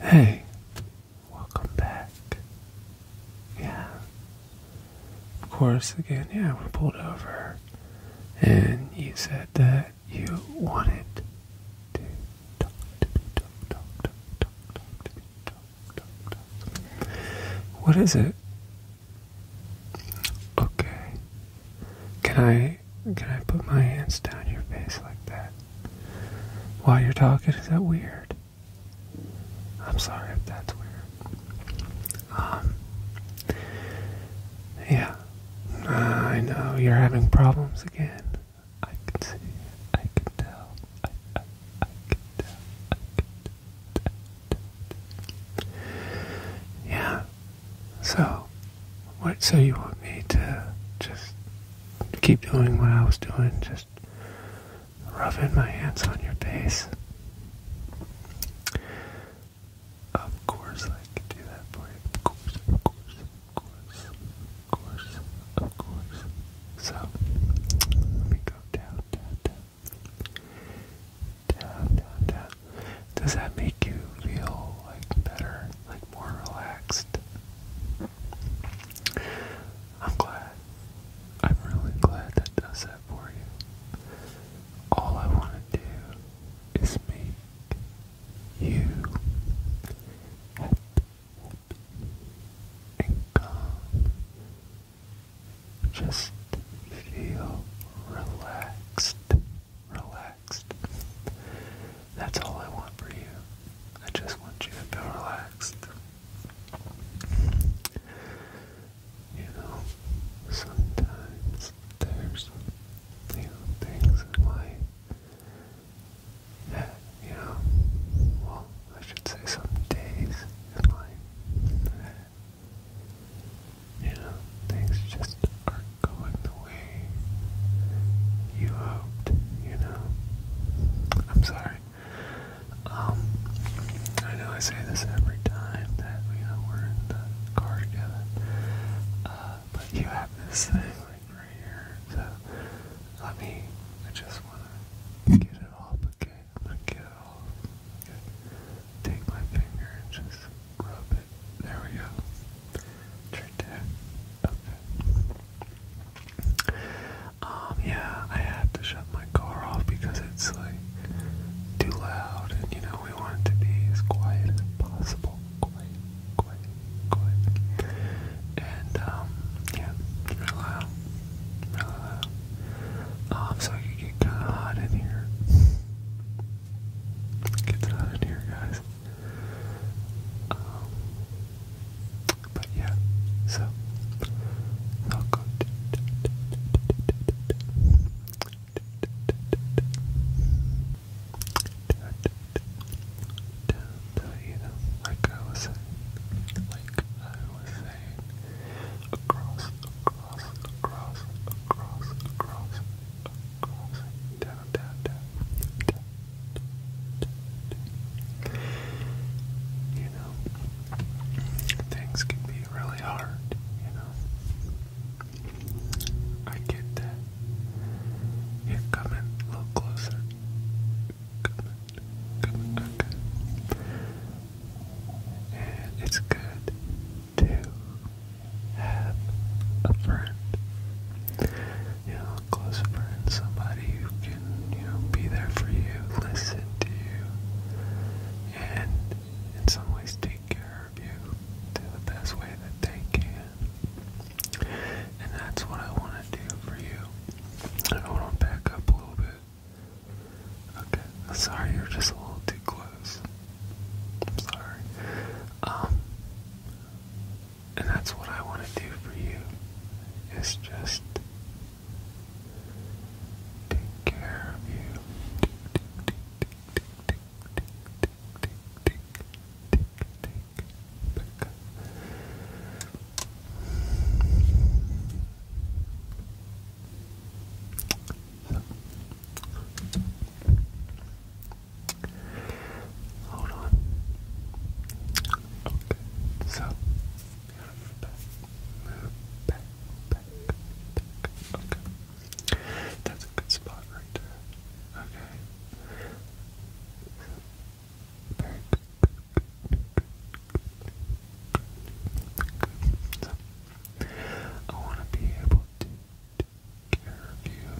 Hey, welcome back. Yeah. Of course, again, yeah, we pulled over. And you said that you wanted to talk to me, talk, talk, talk, talk, talk to talk, talk, talk. What is it? Okay. Can I can I put my hands down your face like that? While you're talking, is that weird? I'm sorry if that's weird. Um Yeah. Uh, I know you're having problems again. I can see. I can tell. I, I, I can tell. I can tell. Yeah. So, so you want me to just keep doing what I was doing? Just rubbing my hands on your face? Of course I can do that for you. Of course, of course, of course, of course, of course. So, let me go down, down. Down, down, down. Does that make you feel like better, like more relaxed? I'm glad. I'm really glad that does that for you. All I want to do is make you happy and calm. Just feel relaxed, relaxed. That's all I want for you. I just want you to feel relaxed. You know, sometimes there's you know, things in life you know, well, I should say some days in life you know, things just aren't going the way you hoped, you know. I'm sorry. Um, I know I say this every time that, we're in the car together, uh, but you have this thing, right here, so let me, I just want to get it off, okay? I'm going to get it off. Take my finger and just rub it it. There we go. right there. Okay. Um, yeah, I had to shut my car off because it's like too loud, and you know, we want to be as quiet as possible. Quiet, quiet, quiet. And, um, yeah, really loud. Really loud. Um, so it could get kind of hot in here. Get that out of here, guys. Um, but yeah, so I'll go. like I was saying, like I was saying, across, across, across, across, across, you know, things can be really hard, you know. I get that. Here, come a little closer. Come in, come And it's good to have a friend. You know, a close friend, somebody who can, you know, be there for you, listen to you, and in some ways take care of you to the best way that they can. And that's what I want to do for you. I want to back up a little bit Okay, sorry, you're just a little too close. I'm sorry. Um, and that's what I want to do for you, is just take care of you. Hold on. Okay, so move back, move back, back, Okay, that's a good spot right there. Okay. good. good, good, good, good, good. So, I want to be able to take care of you,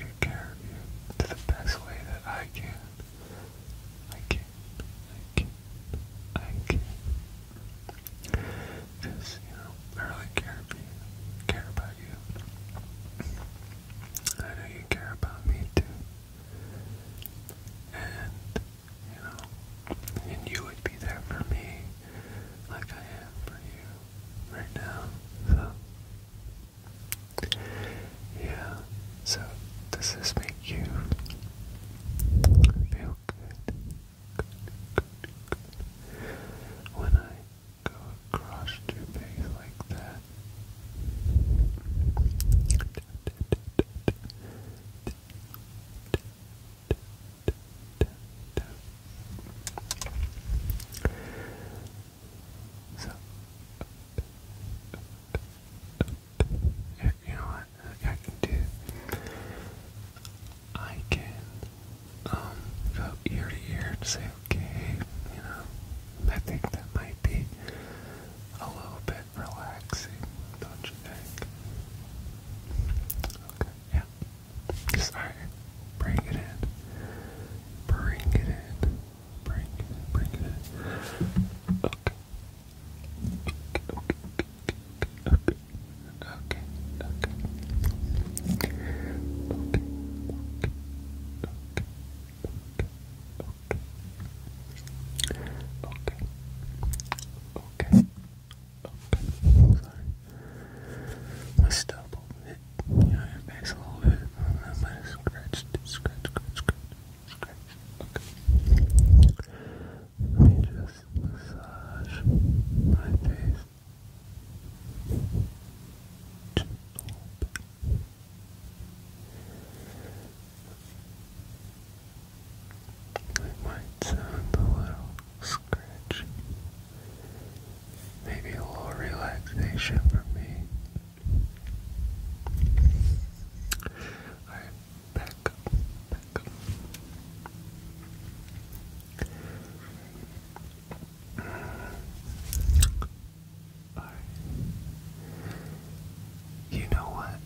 take care of you the best way that I can. I can, I can, I can. Just, you really care about you, care about you. I know you care about me too. And you know, and you would be there for me like I am for you right now. So, yeah, so does this make you feel good? When I go across your face like that. So, you know what I can do? I can um, go ear to ear and say, okay, you know, I think that might be a little bit relaxing, don't you think? Okay, yeah. Sorry. Bring it in. Bring it in. Bring it Bring it Okay. Okay. Okay. Okay. Okay. Okay. Okay. Okay. Okay. Okay. Sorry. Let's double it. You a little bit. And then let it scratch, scratch, scratch, scratch, scratch. Okay. Let me just massage my face. It might sound a little scratchy. Maybe a little relaxation for me. Alright, back up, back up. You know what?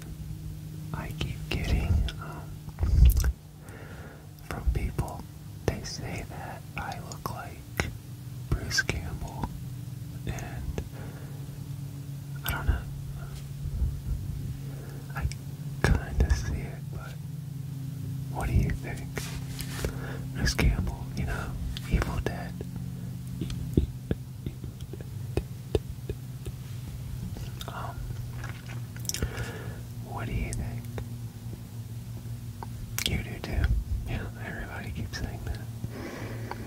I keep getting um, from people, they say that I look like Bruce Campbell, and I don't I kind of see it, but what do you think? Bruce Campbell, you know, Evil Dead. Um, what do you think? You do too. Yeah, everybody keeps saying that.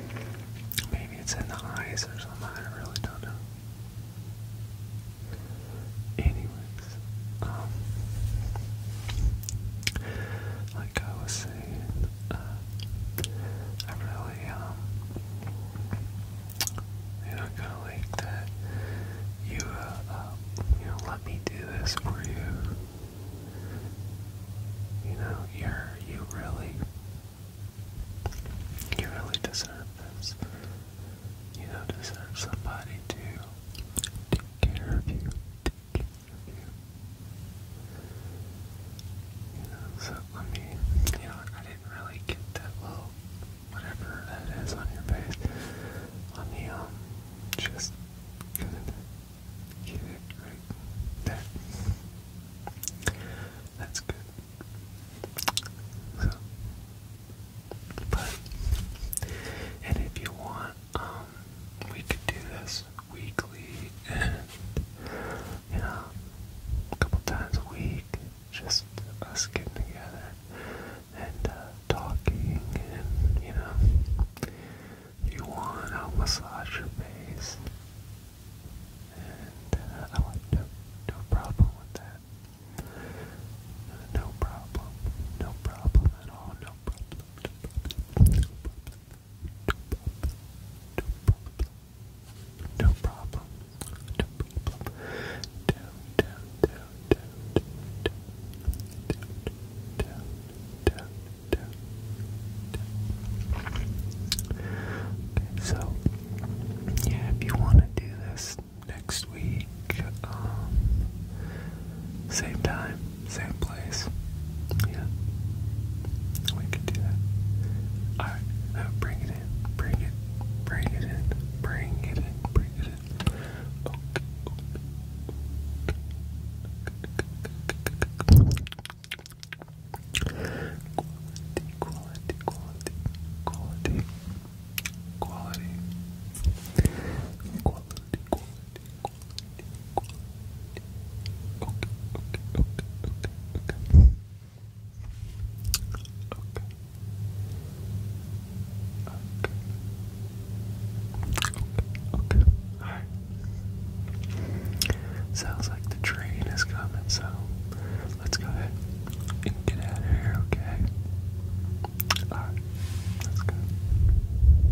Maybe it's in the eyes or something. I really don't know. Anyways, um, like I was uh, I really, um, you know, kind of like that you, uh, um, let me do this for you. You know, you're, you really, you really deserve this. You know, deserve somebody to take care of you, so let me, you know, I didn't really get that little, whatever that is on your face. Let me, um, just kind get it right there. That's good. So, but, and if you want, um, we could do this weekly and, you know, a couple times a week, just us getting together and uh, talking and, you know, you want, a will massage your face. And uh, I like no, no problem with that. No problem. No problem at all. No problem. No problem. No problem. Down, down, down, down, down, down, down, down, down, down. so yeah, if you want to do this next week, same time, same place. Yeah. We can do that. Alright, now bring it Bring it. Bring it in. Bring it in. Bring it in. Okay. Quality, quality, quality, quality, quality, quality, okay, okay, okay, okay. Okay. Okay. Okay. Sounds like the train is coming, so let's go ahead and get out of here, okay? Alright, let's go.